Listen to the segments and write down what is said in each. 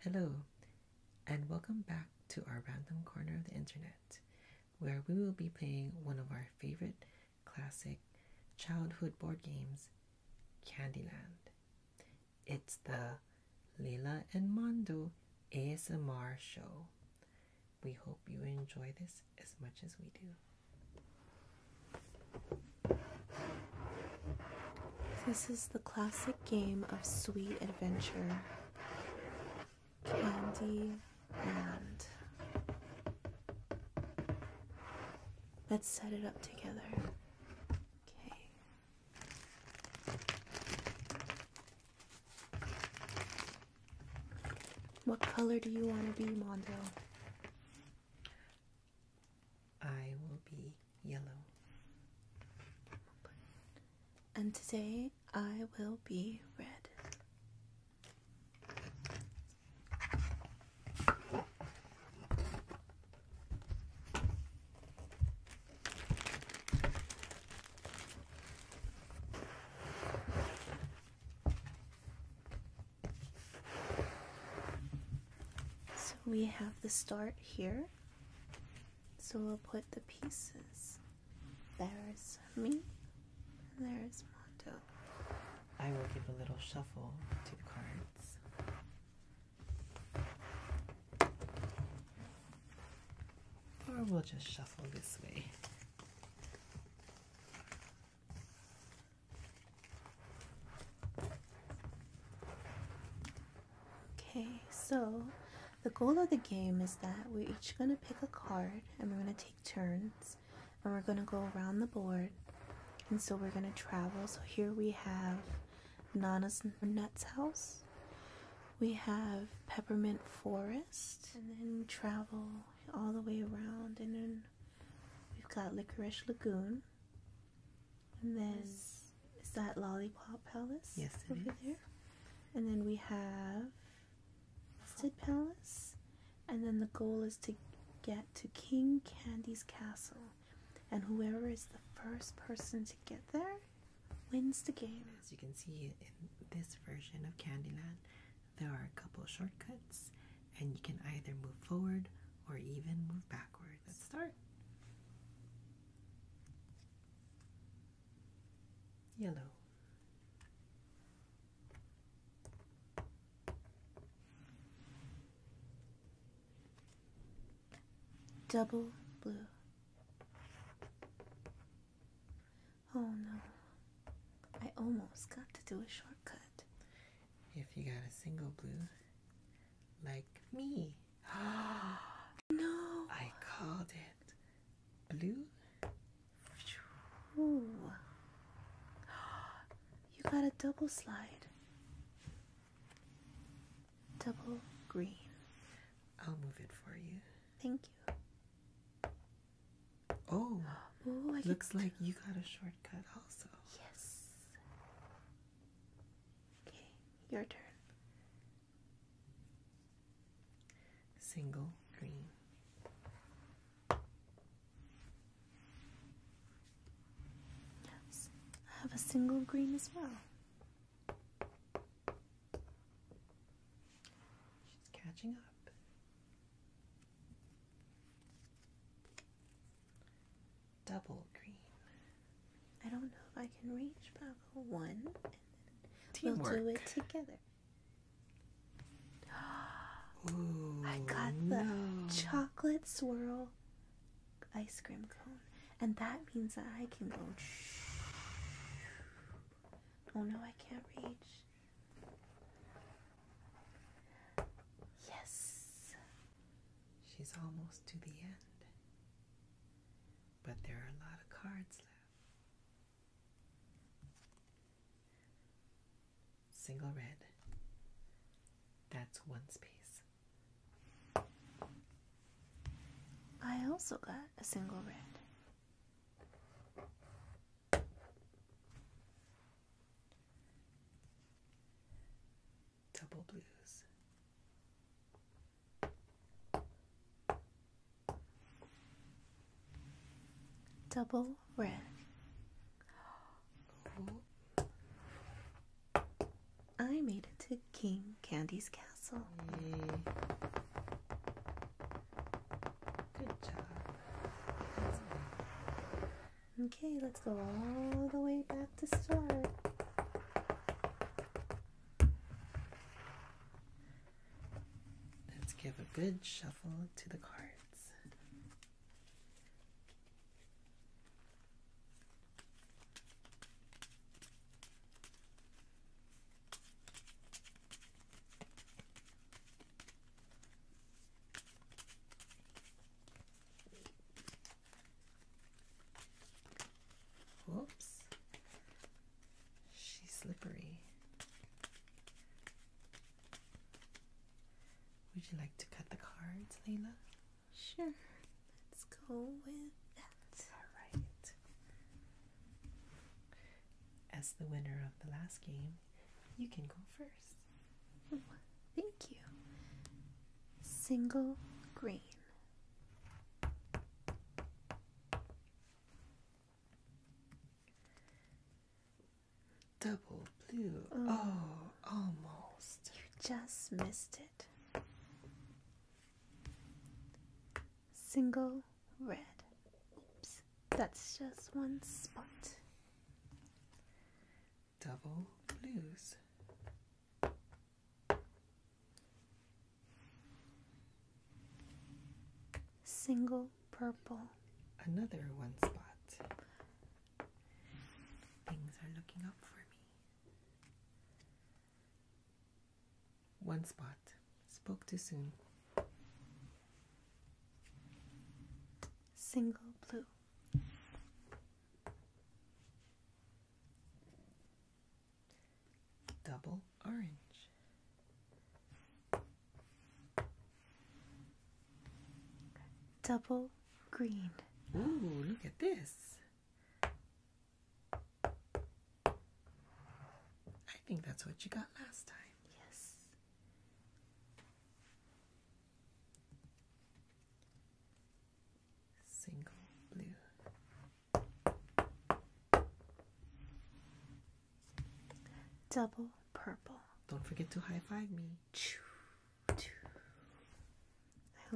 Hello, and welcome back to our random corner of the internet, where we will be playing one of our favorite classic childhood board games, Candyland. It's the Leila and Mondo ASMR show. We hope you enjoy this as much as we do. This is the classic game of sweet adventure Candy and Let's set it up together. Okay. What color do you want to be, Mondo? I will be yellow. And today I will be red. So we have the start here. So we'll put the pieces. There's me, and there's Mondo. I will give a little shuffle to the cards or we'll just shuffle this way. Okay, so the goal of the game is that we're each going to pick a card and we're going to take turns and we're going to go around the board. And so we're going to travel. So here we have Nana's Nuts House. We have Peppermint Forest and then travel all the way around, and then we've got Licorice Lagoon, and then is that Lollipop Palace? Yes, over there. And then we have Sid Palace, and then the goal is to get to King Candy's Castle, and whoever is the first person to get there wins the game. As you can see in this version of Candyland, there are a couple shortcuts, and you can either move forward or even move backward. Let's start. Yellow. Double blue, Oh no. I almost got to do a shortcut. If you got a single blue, like me. no. I called it blue. You got a double slide. Double green. I'll move it for you. Thank you. Oh, looks like you got a shortcut also. Yes. Okay, your turn. Single green. Yes, I have a single green as well. She's catching up. Double green. I don't know if I can reach, but one we'll do it together. I got the chocolate swirl ice cream cone, and that means that I can go. Oh no, I can't reach. Yes. She's almost to the end. But there are a lot of cards left. Single red. That's one space. I also got a single red. Double blues. Double red. I made it to King Candy's castle. Good job. Okay, let's go all the way back to start. Let's give a good shuffle to the cards. Whoops. She's slippery. Would you like to cut the cards, Layla? Sure. Let's go with that. Alright. As the winner of the last game, you can go first. thank you. Single green. Double blue. oh, oh almost. You just missed it single red. Oops, that's just one spot. Double blues. Single purple. Another one spot. Things are looking up for me. One spot. Spoke too soon. Single blue. Double orange. Double green. Ooh, look at this. I think that's what you got last time. Yes single blue. Double purple. Don't forget to high five me. I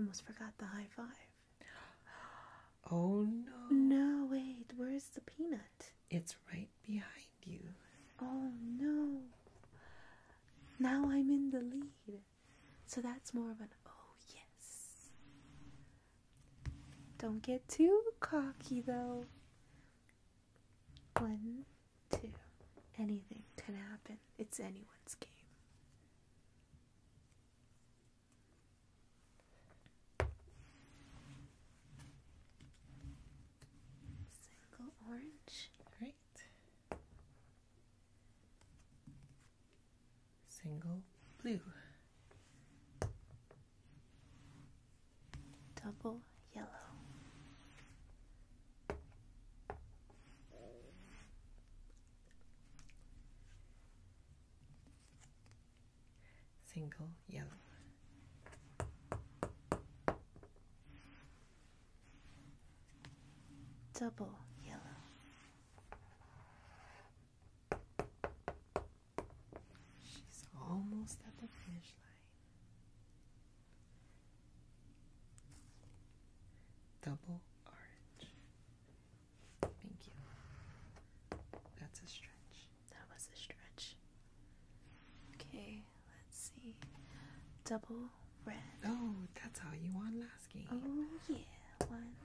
almost forgot the high five. Oh no. No, wait, where's the peanut? it's right behind you. Oh no. Now I'm in the lead. So that's more of an oh yes. Don't get too cocky though. One, two. Anything can happen. It's anyone's game. Single orange. Great. Single blue. Double yellow single yellow. Double yellow. She's almost at the finish line. Double orange. Thank you. That's a stretch. That was a stretch. Okay, let's see. Double red. Oh, that's all you won last game. Oh yeah, one.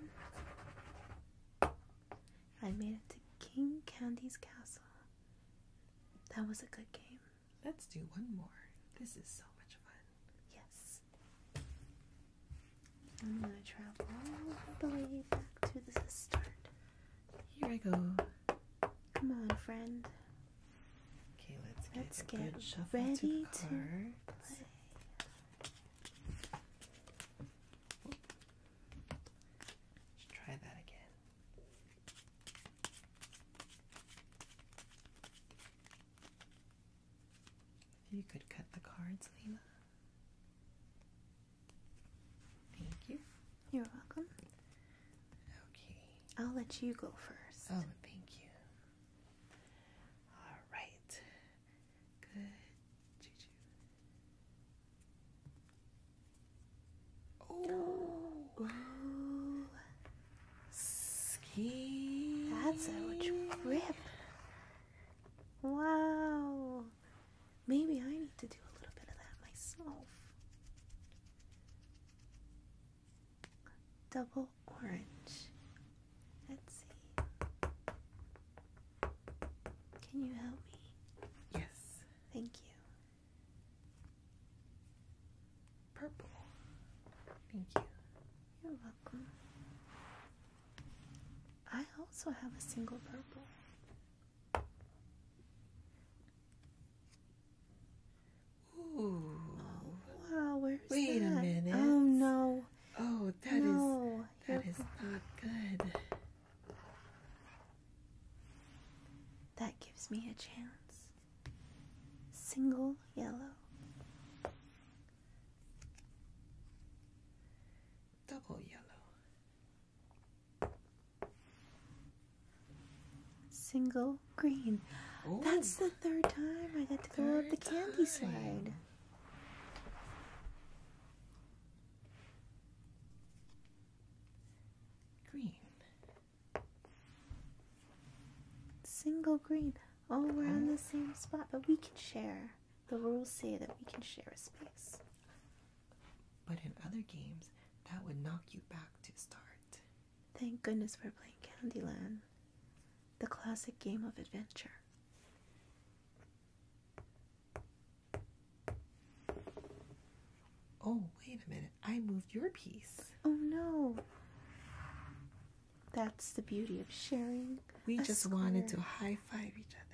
I made it to King Candy's castle. That was a good game. Let's do one more. This is so much fun. Yes. I'm gonna travel all the way back to the start. Here I go. Come on, friend. Okay, let's get, ready to, play. Let's try that again. you could cut the cards, Lima. Thank you. You're welcome. Okay. I'll let you go first. Oh, thank you. All right. Good. Choo -choo. Ooh. Ski. That's a trip. Wow. Maybe I need to do a little bit of that myself. Double orange. Let's see. Can you help me? Yes. Thank you. Purple. Thank you. You're welcome. I also have a single purple. Oh, wow, Wait a minute. Oh no. Oh, that no. not good. That gives me a chance. Single yellow. Double yellow. Single green. That's the third time I got to throw up the candy slide. Green. Single green. Oh, we're on the same spot, but we can share. The rules say that we can share a space. But in other games, that would knock you back to start. Thank goodness we're playing Candyland, the classic game of adventure. Oh, wait a minute. I moved your piece. Oh, no. That's the beauty of sharing. We just wanted to high five each other.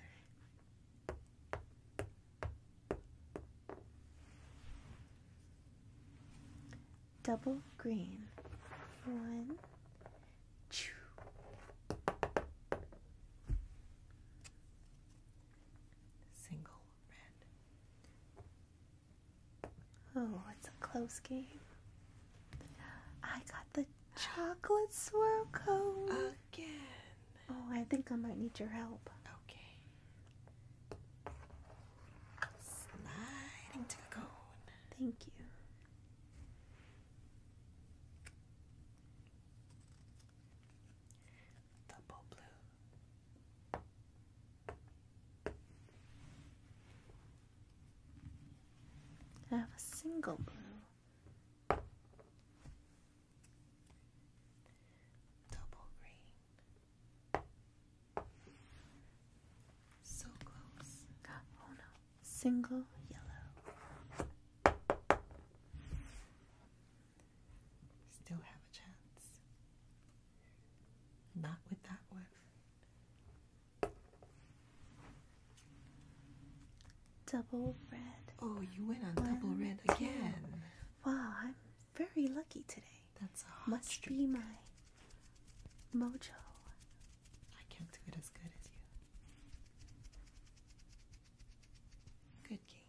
Double green. One. Two. Single red. Oh, it's a close game. I got the chocolate swirl code. Oh, I think I might need your help. Okay. Thank you. Double blue. I have a single blue. Double green. So close. Oh no. Single yellow. Still have a chance. Not with that one. Double red. Oh, you went on double red again. Wow, I'm very lucky today. That's a Must be my mojo. I can't do it as good as you. Good game.